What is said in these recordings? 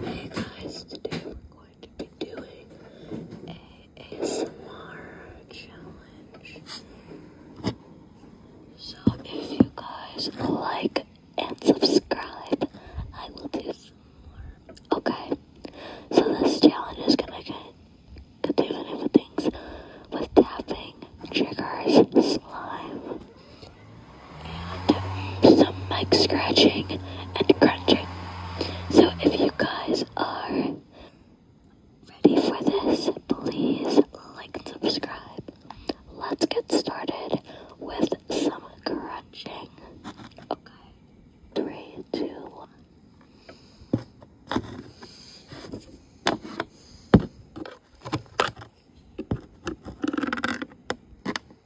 Hey guys, today we're going to be doing a ASMR challenge. So if you guys like and subscribe, I will do some more. Okay, so this challenge is gonna get do different things with tapping, triggers, slime, and some mic scratching and crunching. So if you guys are ready for this, please like and subscribe. Let's get started with some crunching. Okay. Three, two, one.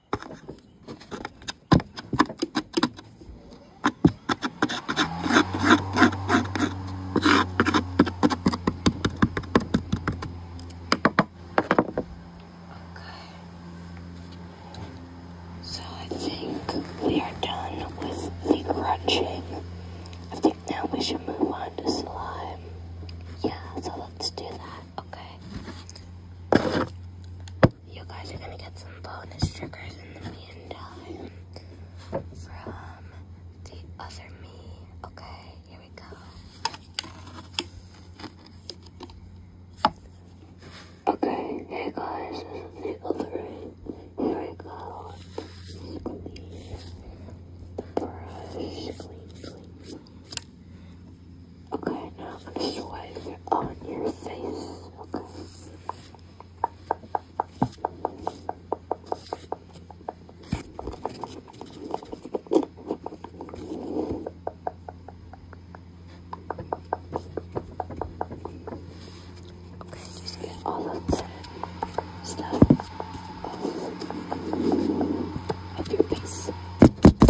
So I think we are done with the crunching. I think now we should move on to slime. Yeah, so let's do that. Okay. You guys are gonna get some bonus triggers in the meantime from the other me. Okay, here we go. Okay, hey guys, this is the other Here we go. Okay, now I'm gonna swipe it on your face. Okay. just get all of the stuff off your face.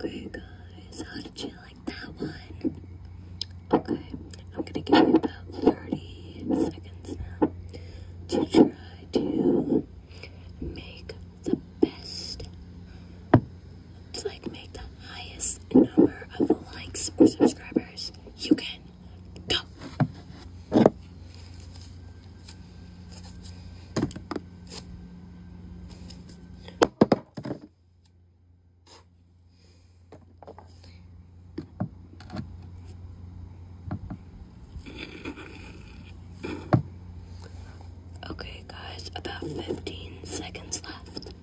Okay guys, how did you like that one? Okay, I'm gonna give you about 30 seconds now to try to make the best to like make the highest number of likes or subscribers you can go. Okay, guys, about 15 seconds left.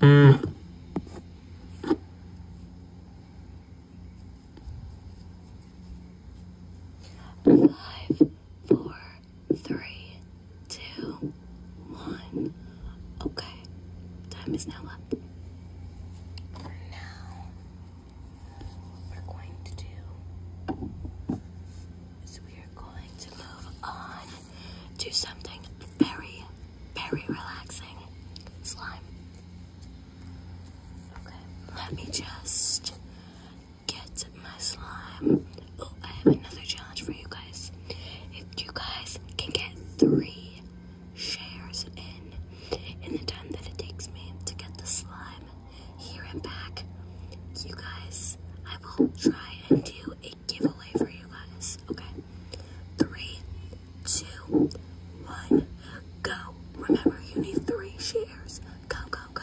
Mm. Five, four, three, two, one. Okay, time is now up. Now, we're going to do is we are going to move on to something very, very relaxing. Slime. Okay, let me just get my slime. Oh, I have another challenge for you guys. If you guys can get three shares in in the time that it takes me to get the slime here and back. You guys, I will try and do a giveaway for you guys. Okay. Three, two, one, go. Remember, you need three shares. Go, go, go.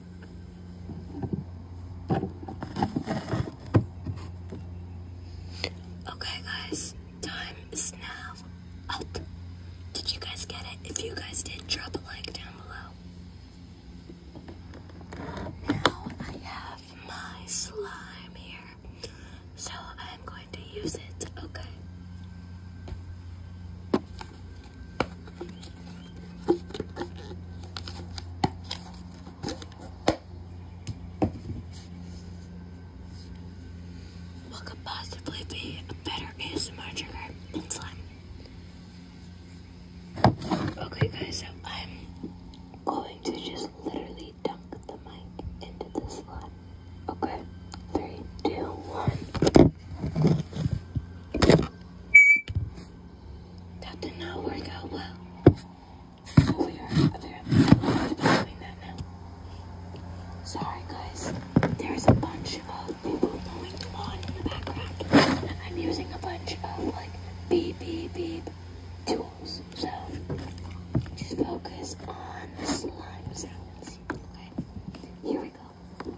Okay, guys, time is now up. Did you guys get it? If you guys did, drop a like down below. Now I have my slime here, so I'm going to use it, okay? What could possibly be a better ASMR trigger than Okay guys, so I'm going to just literally dunk the mic into the slot. Okay, three, two, one. That did not work out well. Sorry guys, there's a bunch of people going on in the background. I'm using a bunch of like beep beep beep tools. So just focus on the slime sounds. Okay, here we go.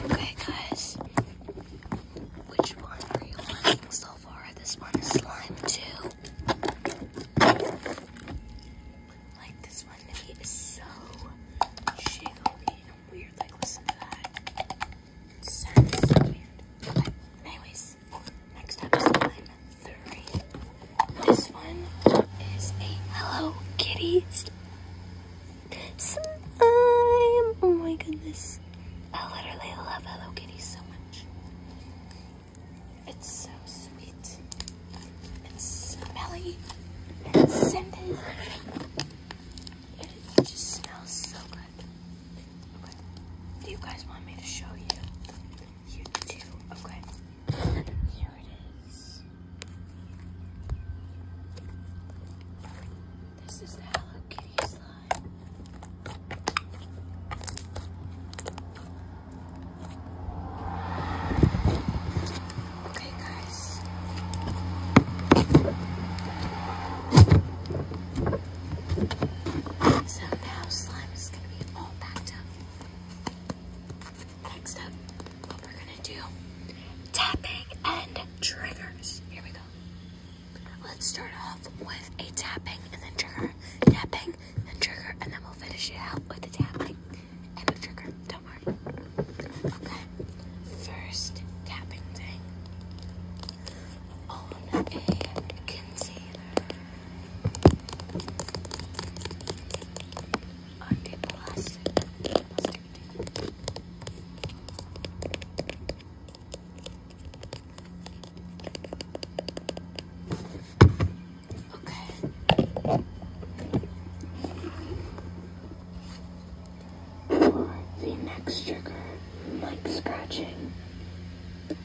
Okay, guys, which one are you liking so far? This one is slime too. Like this one maybe so weird. Like listen to that. anyways this. Next up is line three. This one is a Hello Kitty slime. Oh my goodness. I literally love Hello Kitty so much. It's so sweet and smelly and scented. It just smells so good. Do you guys want me to show you you too. Okay. Here it is. This is the slime. Okay, guys. So now slime is going to be all packed up. Next up, what we're gonna do, tapping and triggers. Here we go. Let's start off with a tapping and then trigger, tapping and trigger, and then we'll finish it out with a tapping and a trigger. Don't worry. Okay, first tapping thing on a container. Anti plastic. Okay. For the next trigger, like scratching.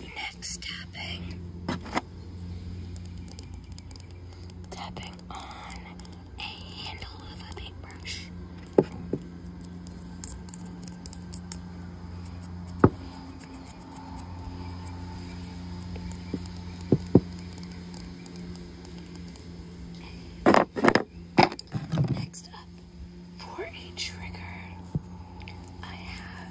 Next, tapping. Tapping on a handle of a paintbrush. Next up, for a trigger, I have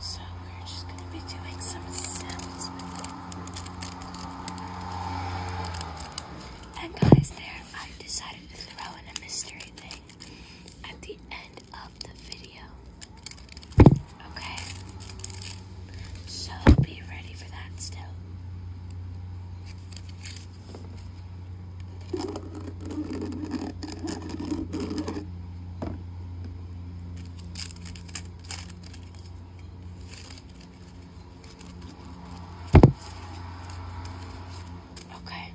So we're just going to be doing some sounds with it. And guys, there I decided to throw in a mystery thing at the end of the video. Okay? So be ready for that still. Okay,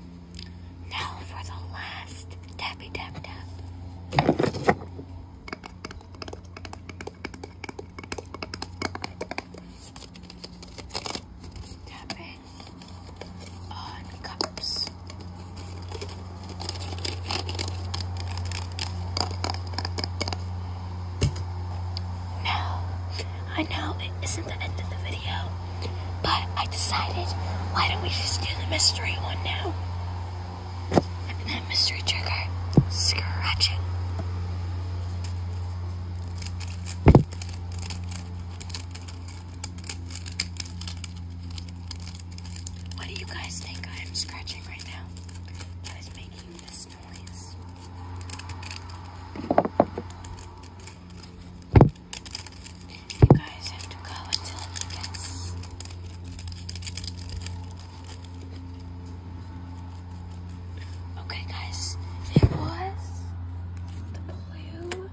now for the last tappy tap tap. Tap on cups. Now, I know it isn't the end of the video, but I decided why don't we just do the mystery one now? And mystery trigger, scratch it. What do you guys think I am scratching right now? That is making this noise. You guys have to go until you guess. Okay, guys, it was the blue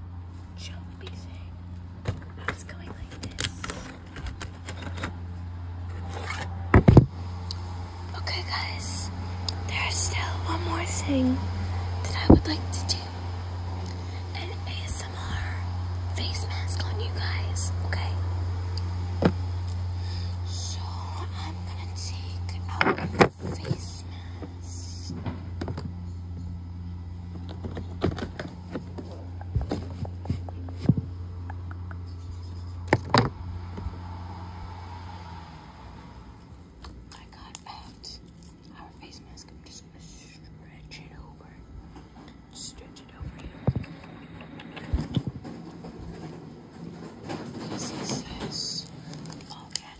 Okay, guys. There's still one more thing that I would like to do. An ASMR face mask on you guys, okay? So I'm gonna take face mask. Oh, I got out our face mask. I'm just gonna stretch it over. Stretch it over here. This this. All you have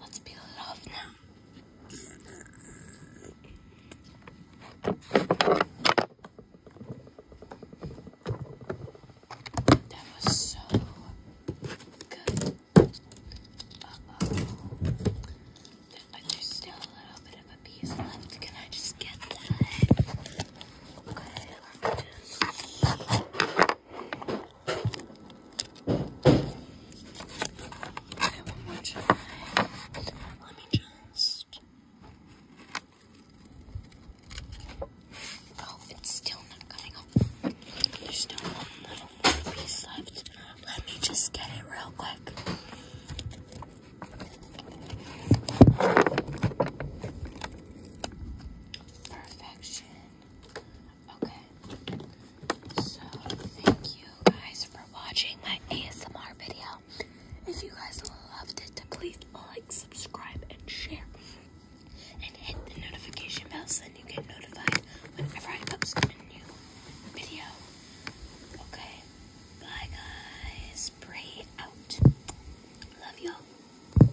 Let's peel it off now. That was so good. oh But there's still a little bit of a piece left. Can I just get that? Okay, one more try. Let me just. Oh, it's still not coming up. There's still one little piece left. Let me just get it real quick. Perfection. Okay. So, thank you guys for watching my ASMR video. If you guys loved it, please like, subscribe, and share. And hit the notification bell so then you get notified whenever I post a new video. Okay. Bye, guys. Pray out. Love y'all.